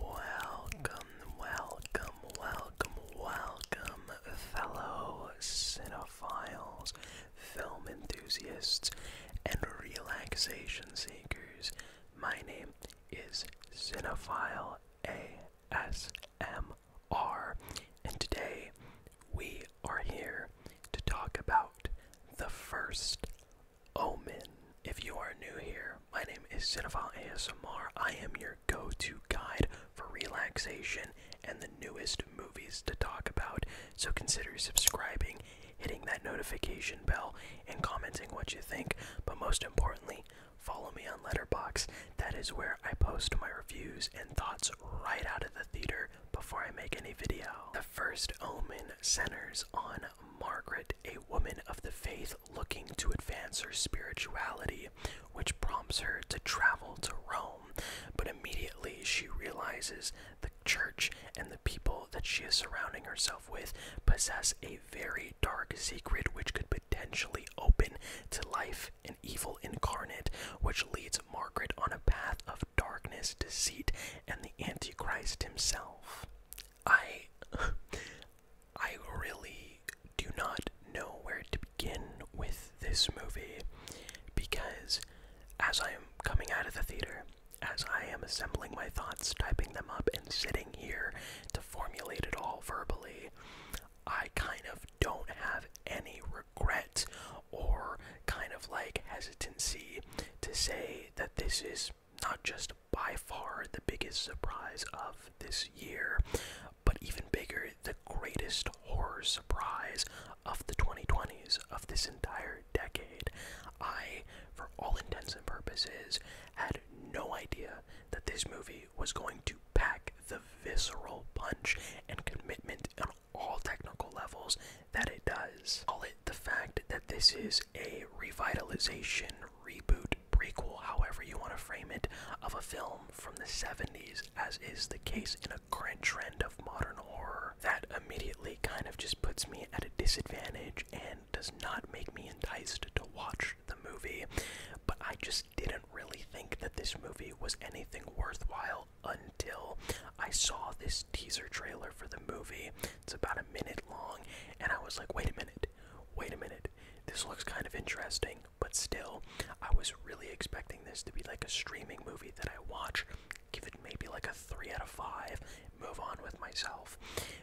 Welcome, welcome, welcome, welcome, fellow cinephiles, film enthusiasts, and relaxation seekers. My name is Cinephile ASMR, and today we are here to talk about the first Omen. If you are new here, my name is Cinephile ASMR. I am your go-to guide for relaxation and the newest movies to talk about. So consider subscribing, hitting that notification bell, and commenting what you think. But most importantly, follow me on Letterbox. That is where I post my reviews and thoughts right out of the theater before I make any video. The first omen centers on Margaret, a woman of the faith looking to advance her spirituality, which prompts her to travel to Rome. But immediately she realizes the church and the people that she is surrounding herself with possess a very dark secret which could potentially open to life an evil incarnate, which leads Margaret on a path of darkness, deceit, and the Antichrist himself. I I really do not know where to begin with this movie because as I am coming out of the theater, as I am assembling my thoughts, typing them up, and sitting here to formulate it all verbally, I kind of don't have any regret or kind of like hesitancy to say that this is not just by far the biggest surprise of this year, but even bigger, the greatest horror surprise of the 2020s, of this entire decade. I, for all intents and purposes, had no idea that this movie was going to pack the visceral punch and commitment on all technical levels that it does. Call it the fact that this is a revitalization, reboot, prequel, however you want to frame it, of a film from the 70s, as is the case in a current trend of modern horror. That immediately kind of just puts me at a disadvantage and does not make me enticed to watch the movie, but I just didn't really think that this movie was anything worthwhile until I saw this teaser trailer for the movie, it's about a minute long, and I was like, wait a minute, wait a minute. This looks kind of interesting, but still, I was really expecting this to be like a streaming movie that I watch, give it maybe like a 3 out of 5, move on with myself.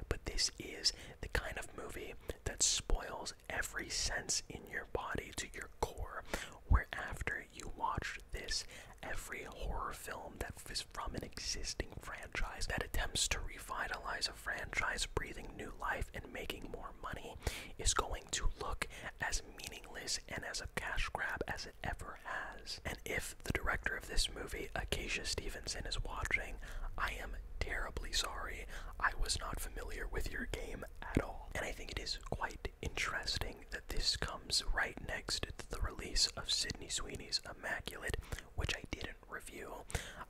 But this is the kind of movie that spoils every sense in your body to your core, where after you watch this, every horror film that is from an existing franchise that attempts to revitalize a franchise, breathing new life and making more money is going to look as meaningless and as a cash grab as it ever has. And if the director of this movie, Acacia Stevenson, is watching, I am terribly sorry. I was not familiar with your game at all. And I think it is quite interesting that this comes right next to the release of Sidney Sweeney's Immaculate, which I did not review.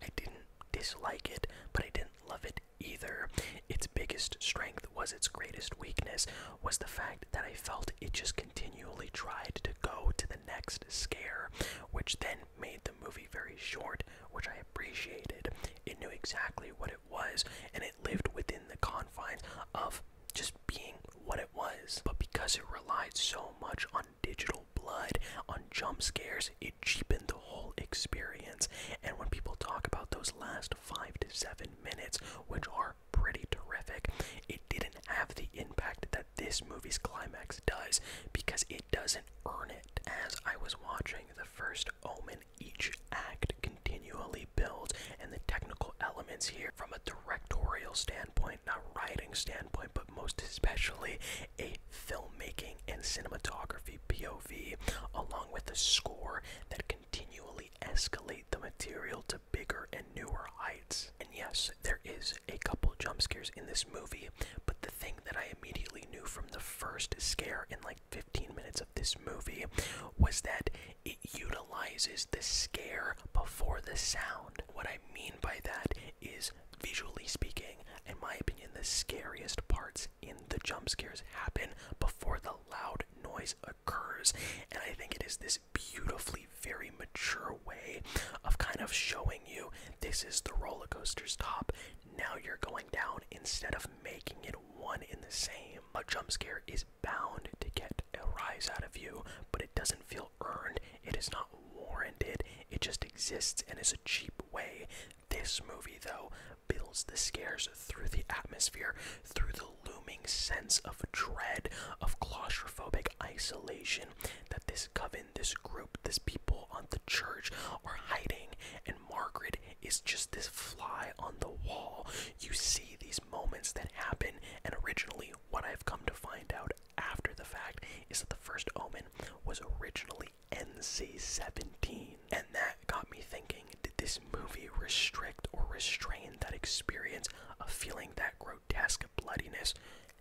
I didn't dislike it, but I didn't love it either. Its biggest strength was its greatest weakness, was the fact that I felt it just continually tried to go to the next scare, which then made the movie very short, which I appreciated. It knew exactly what it was, and it lived within the confines of just being what it was. But because it relied so much on on digital blood, on jump scares. It cheapened the whole experience. And when people talk about those last five to seven minutes, which are pretty terrific, it didn't have the impact that this movie's climax does because it doesn't earn it. As I was watching the first Omen, each act continually builds, and the technical elements here from a directorial standpoint, not writing standpoint standpoint, but most especially a filmmaking and cinematography POV, along with a score that continually escalate the material to bigger and newer heights. And yes, there is a couple jump scares in this movie, but the thing that I immediately knew from the first scare in like 15 minutes of this movie was that it utilizes the scare before the sound. What I mean by that is visually speaking, in my opinion, the scariest parts in the jump scares happen before the loud noise occurs. And I think it is this beautifully, very mature way of kind of showing you this is the roller coaster's top. Now you're going down instead of making it one in the same. A jump scare is bound to get a rise out of you, but it doesn't feel earned. It is not warranted, it just exists and is a cheap way. This movie, though, builds the scares through the atmosphere, through the looming sense of dread, of claustrophobic isolation that this coven, this group, this people on the church are hiding. And Margaret is just this fly on the wall. You see these moments that happen, and originally, what I've come to find out after the fact is that the first Omen was originally NC-17, and that got me thinking: Did this movie restrict or restrain that experience of feeling that grotesque bloodiness?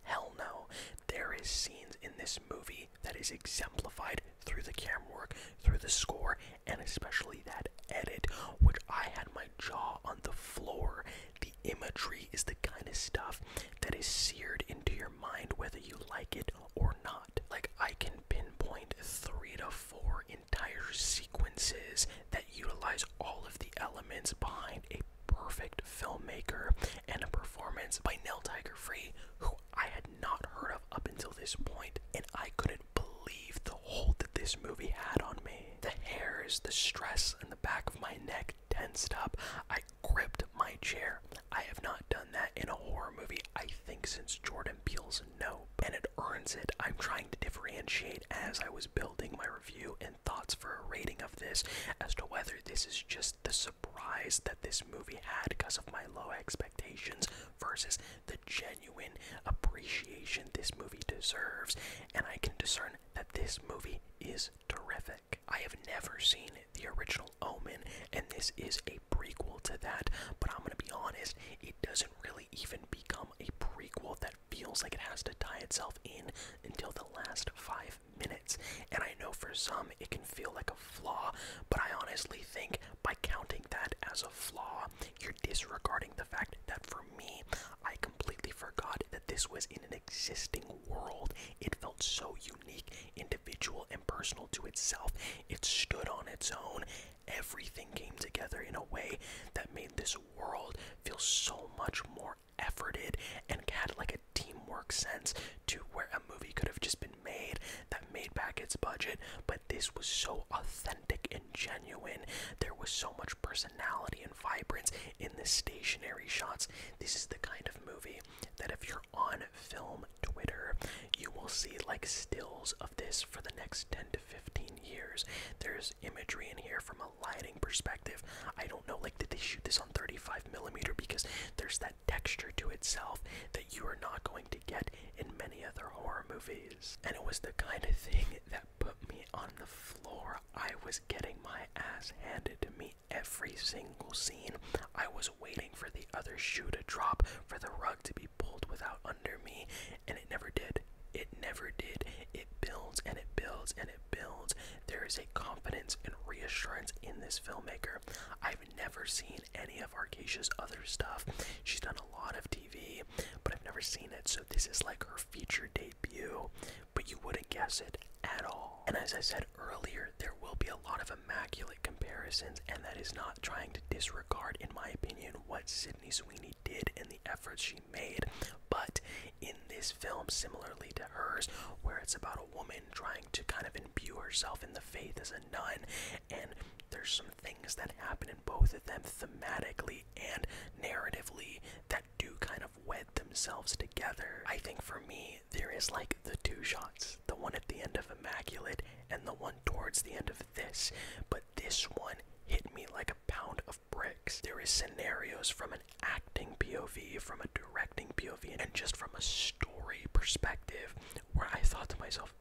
Hell no. There is scenes in this movie that is exemplified through the camera work, through the score, and especially that edit, which I had my jaw on the floor the imagery is the kind of stuff that is seared into your mind whether you like it or not. Like, I can pinpoint three to four entire sequences that utilize all of the elements behind a perfect filmmaker and a performance by Neil Tiger Free, who I had not heard of up until this point, and I couldn't believe the hold that this movie had on me. The hairs, the stress in the back of my neck like tensed up. I gripped my chair. I have not done that in a horror movie, I think, since Jordan Peele's Nope. And it earns it. I'm trying to differentiate as I was building my review and thoughts for a rating of this as to whether this is just the surprise that this movie had because of my low expectations versus the genuine appreciation this movie deserves. And I can discern that this movie is terrific. I have never seen the original Omen, and this is a prequel to that, but I'm gonna be honest, it doesn't really even become a prequel that feels like it has to tie itself in until the last five minutes. And I know for some it can feel like a flaw, but I honestly think by counting that as a flaw, you're disregarding the fact that for me, I completely forgot that this was in an existing world. It felt so unique, individual, and personal to itself. It stood on its own. Everything came together in a way that made this world feel so much more efforted and had like a teamwork sense to where a movie could have just been made that made back its budget but this was so authentic and genuine there was so much personality and vibrance in the stationary shots. This is the kind of movie that if you're on film Twitter, you will see like stills of this for the next 10 to 15 years. There's imagery in here from a lighting perspective. I don't know, like, did they shoot this on 35 millimeter? Because there's that texture to itself that you are not going to get in many other horror movies. And it was the kind of thing that put me on the floor. I was getting my ass handed to me every single scene. I was waiting for the other shoe to drop, for the rug to be pulled without under me, and it never did. It never did. It builds and it builds and it builds. There is a confidence and reassurance in this filmmaker. I've never seen any of Arcasia's other stuff. She's done a lot of TV, but I've never seen it, so this is like her feature debut debut, but you wouldn't guess it at all. And as I said earlier, there will be a lot of immaculate comparisons, and that is not trying to disregard, in my opinion, what Sydney Sweeney did and the efforts she made. But in this film, similarly to hers, where it's about a woman trying to kind of imbue herself in the faith as a nun, and there's some things that happen in both of them thematically and narratively that do kind of wed themselves together. I think for me, there is like the two shots the one at the end of Immaculate and the one towards the end of this, but this one hit me like a pound of bricks. There is scenarios from an acting POV, from a directing POV, and just from a story perspective where I thought to myself,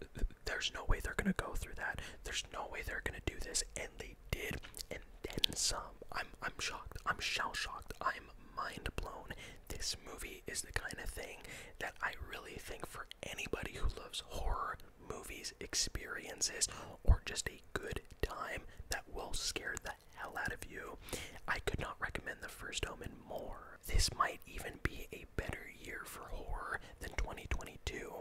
there's no way they're gonna go through that. There's no way they're gonna do this, and they did, and then some. I'm I'm shocked. I'm shell shocked. I'm mind blown. This movie is the kind of thing that I really think for anybody who loves horror movies, experiences, or just a good time that will scare the hell out of you. I could not recommend the first Omen more. This might even be a better year for horror than 2022,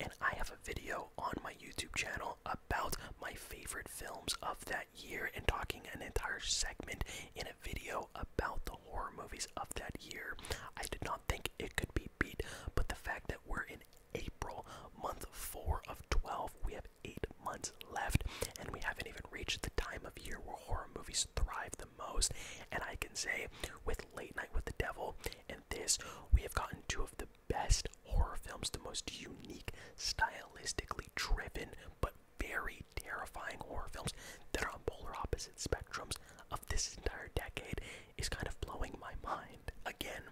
and I have a video on my YouTube channel about my favorite films of that year and talking an entire segment in a video about the horror movies of that year. I did not think it could be beat, but the fact that we're in April, month 4 of 12, we have 8 months left, and we haven't even reached the time of year where horror movies thrive the most. And I can say, with Late Night with the Devil and this, we have gotten two of the best horror films, the most unique, stylistically driven, but very terrifying horror films that are on polar opposite spectrums of this entire decade is kind of blowing my mind. Again,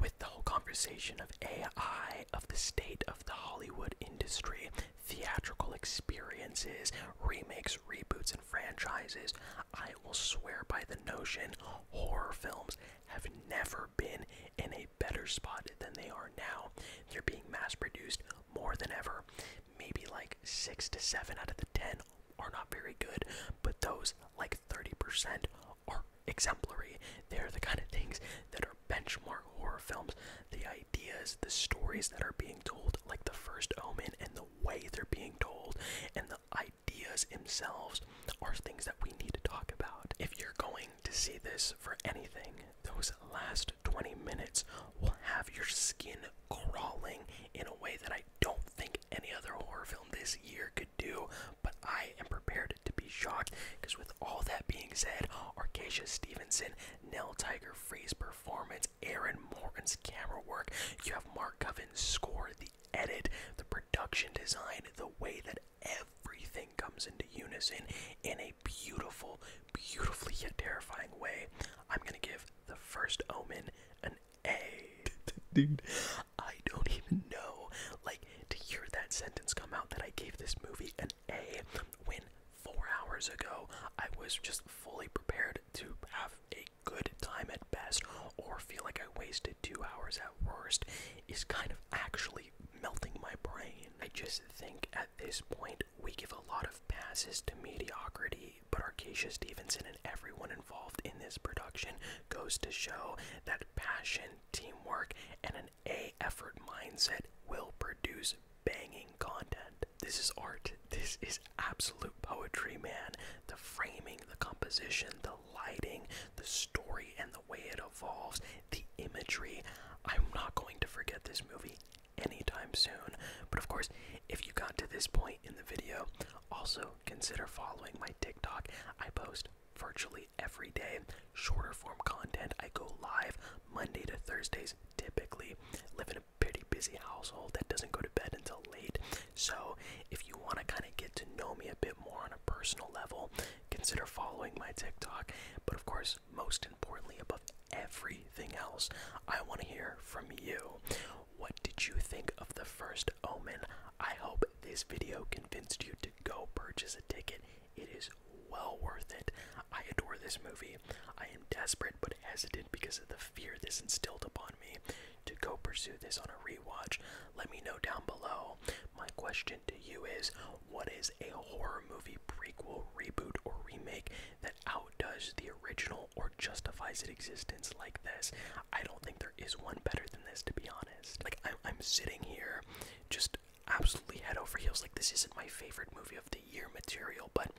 with the whole conversation of AI, of the state of the Hollywood industry, theatrical experiences, remakes, reboots, and franchises, I will swear by the notion horror films have never been in a better spot than they are now. They're being mass produced more than ever. Maybe like 6 to 7 out of the 10 are not very good, but those like 30% are exemplary. They're the kind of things that are benchmark horror films. The ideas, the stories that are being told, like The First Omen, and the way they're being told, and the ideas themselves are things that we need to talk about. If you're going to see this for anything, those last 20 minutes will have your skin crawling in a way that I don't think any other horror film this year could do, but I am prepared to be shocked because, with all that being said, Arcacia Stevenson, Nell Tiger Free's performance, Aaron Morton's camera work, you have Mark Coven's score, the edit, the production design, the way that everything comes into unison in a beautiful, beautifully yet terrifying way. I'm gonna give the first Omen an A. Dude, I don't even know. Like, to hear that sentence come out that I gave this movie an A when four hours ago I was just fully prepared to have a good time at best or feel like I wasted two hours at worst is kind of actually melting my brain. I just think at this point we give a lot of passes to mediocrity, but Arcacia Stevenson and everyone involved in this production goes to show that passion, teamwork, and an A effort mindset will produce banging content. This is art. This is absolute poetry, man. The framing, the composition, the lighting, the story, and the way it evolves, the imagery. I'm not going to forget this movie anytime soon. But of course, if you got to this point in the video, also consider following my TikTok. I post virtually every day shorter form content. I go live Monday to Thursdays typically. Live in a pretty busy household that doesn't go to bed until late. So, if you want to kind of get to know me a bit more on a personal level, consider following my TikTok. But of course, most importantly, above everything else, I want to hear from you. What did you think of the first Omen? I hope this video convinced you to go purchase a ticket. It is well worth it. I adore this movie. I am desperate but hesitant because of the fear this instilled upon me to go pursue this on a rewatch, let me know down below. My question to you is what is a horror movie prequel, reboot, or remake that outdoes the original or justifies its existence like this? I don't think there is one better than this, to be honest. Like, I'm, I'm sitting here just absolutely head over heels. Like, this isn't my favorite movie of the year material, but.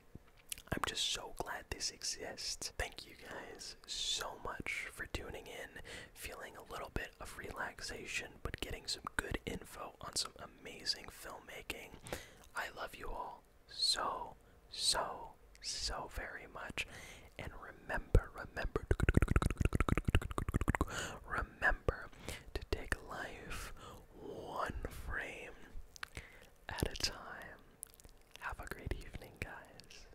I'm just so glad this exists. Thank you guys so much for tuning in feeling a little bit of relaxation, but getting some good info on some amazing filmmaking. I love you all so, so, so very much. And remember, remember, remember to take life one frame at a time. Have a great evening, guys.